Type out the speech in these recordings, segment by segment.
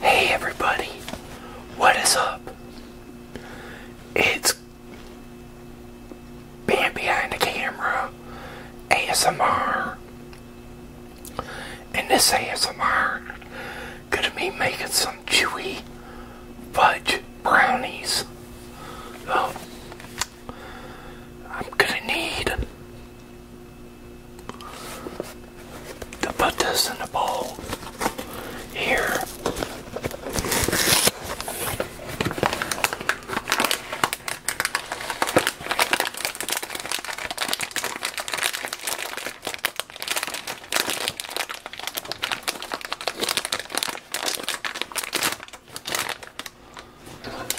Hey everybody, what is up? It's being behind the camera ASMR, and this ASMR gonna be making some chewy fudge brownies. Oh, I'm gonna need to put this in the bowl here.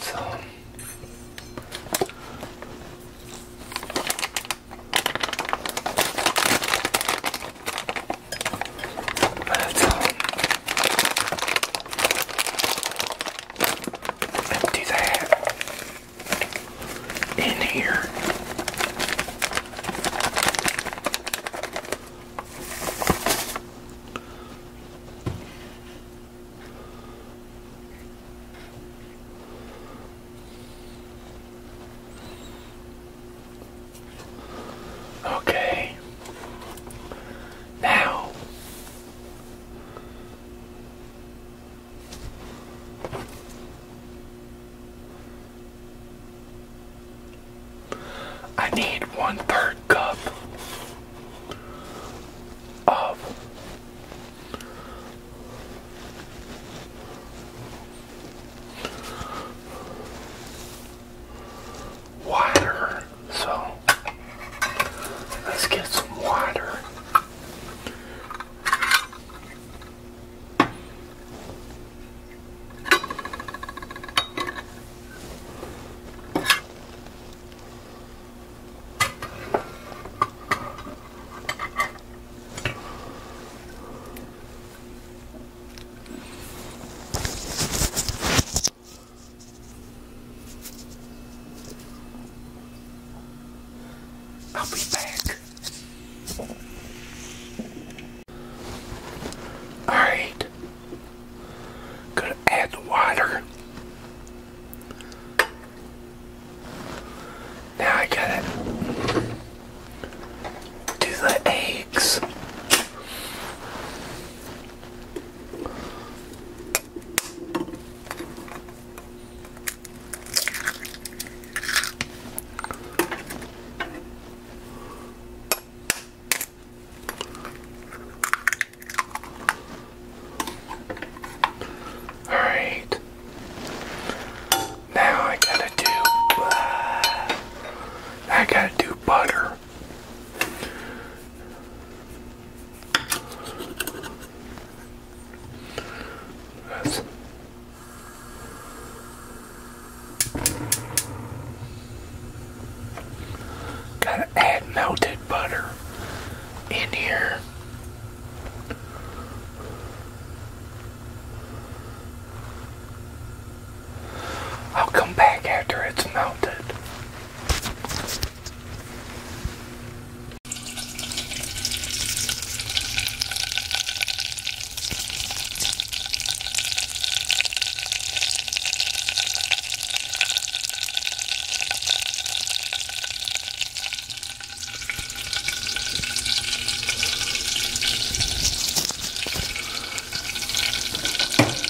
So, but empty that in here. Okay. Now I need one third cup of water. So let's get some water. I'll be back. Alright. Gonna add the water. Now I gotta do the eggs. Alright. Now I gotta do. Uh, I gotta do butter. That's Gotta add melted butter in here. I'll come back after it's melted.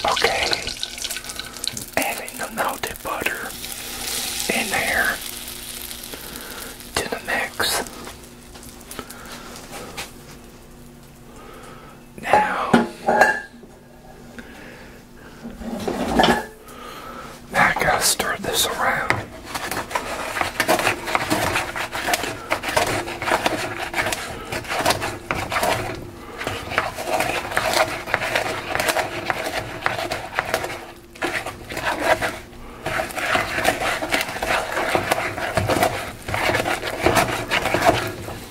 Okay, adding the melted butter in there to the mix. Now, I gotta stir this around.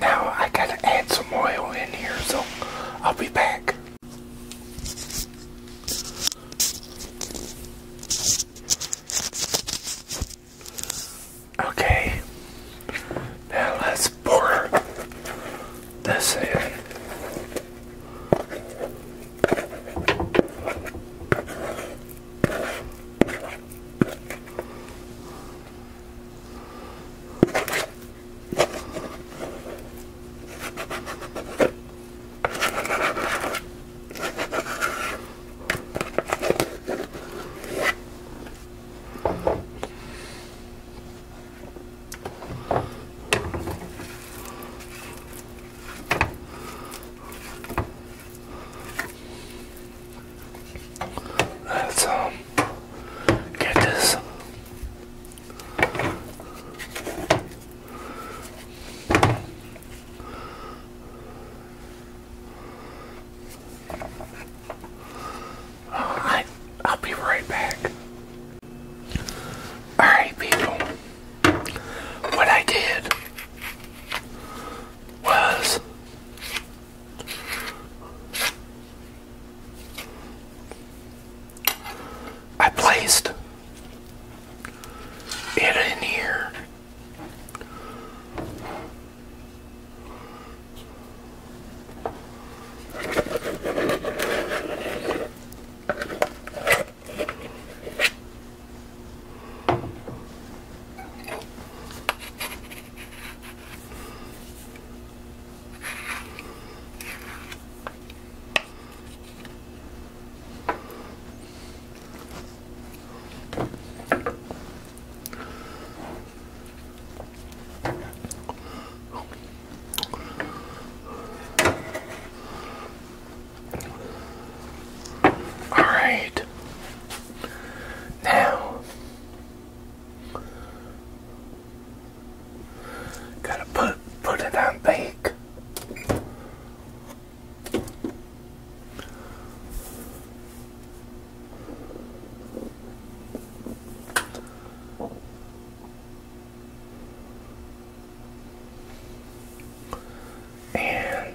Now I gotta add some oil in here, so I'll be back. Okay, now let's pour this in. That's um Get this. I, I'll be right back. Alright, people. What I did was I placed it in here. All right. Now Gotta put put it on bake. And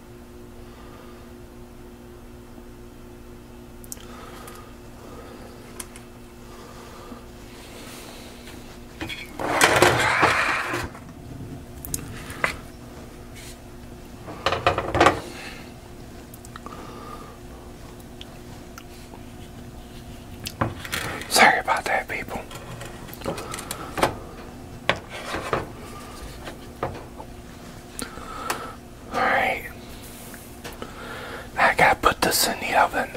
Sorry about that, people. Alright. I gotta put this in the oven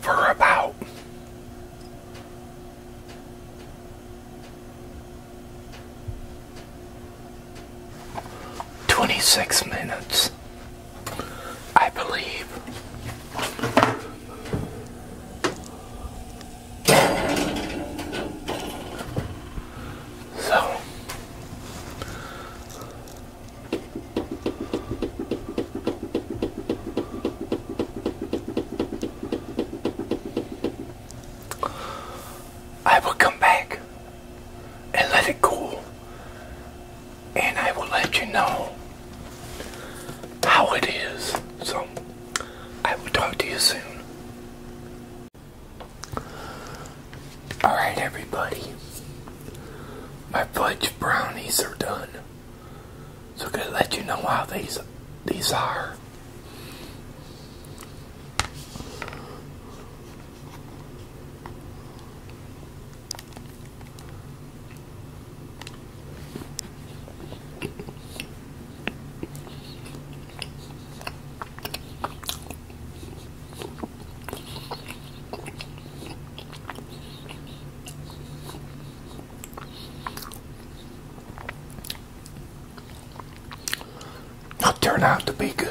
for about twenty six minutes, I believe. So I will come back and let it cool, and I will let you know how it is. So. I will talk to you soon. Alright, everybody. My fudge brownies are done. So I'm gonna let you know how these these are it will turn out to be good.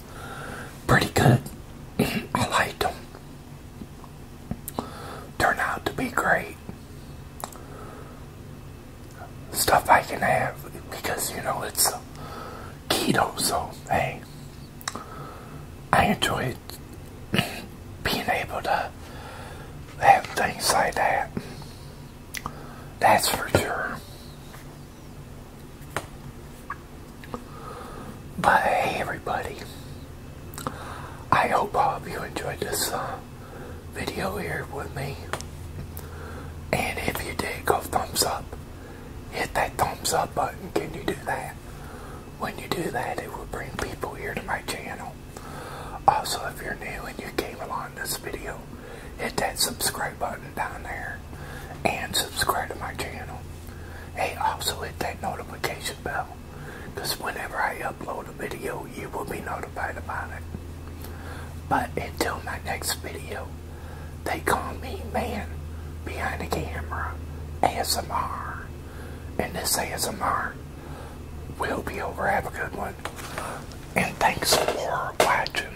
pretty good. I like them. Turn out to be great. Stuff I can have because, you know, it's keto, so, hey, I enjoy being able to have things like that. That's for sure. But everybody, I hope all of you enjoyed this uh, video here with me. And if you did, go thumbs up. Hit that thumbs up button. Can you do that? When you do that, it will bring people here to my channel. Also, if you're new and you came along this video, hit that subscribe button down there and subscribe to my channel. Hey, also hit that notification bell because whenever I upload a video, you will be notified about it. But until my next video, they call me Man Behind the Camera ASMR. And this ASMR will be over. Have a good one. And thanks for watching.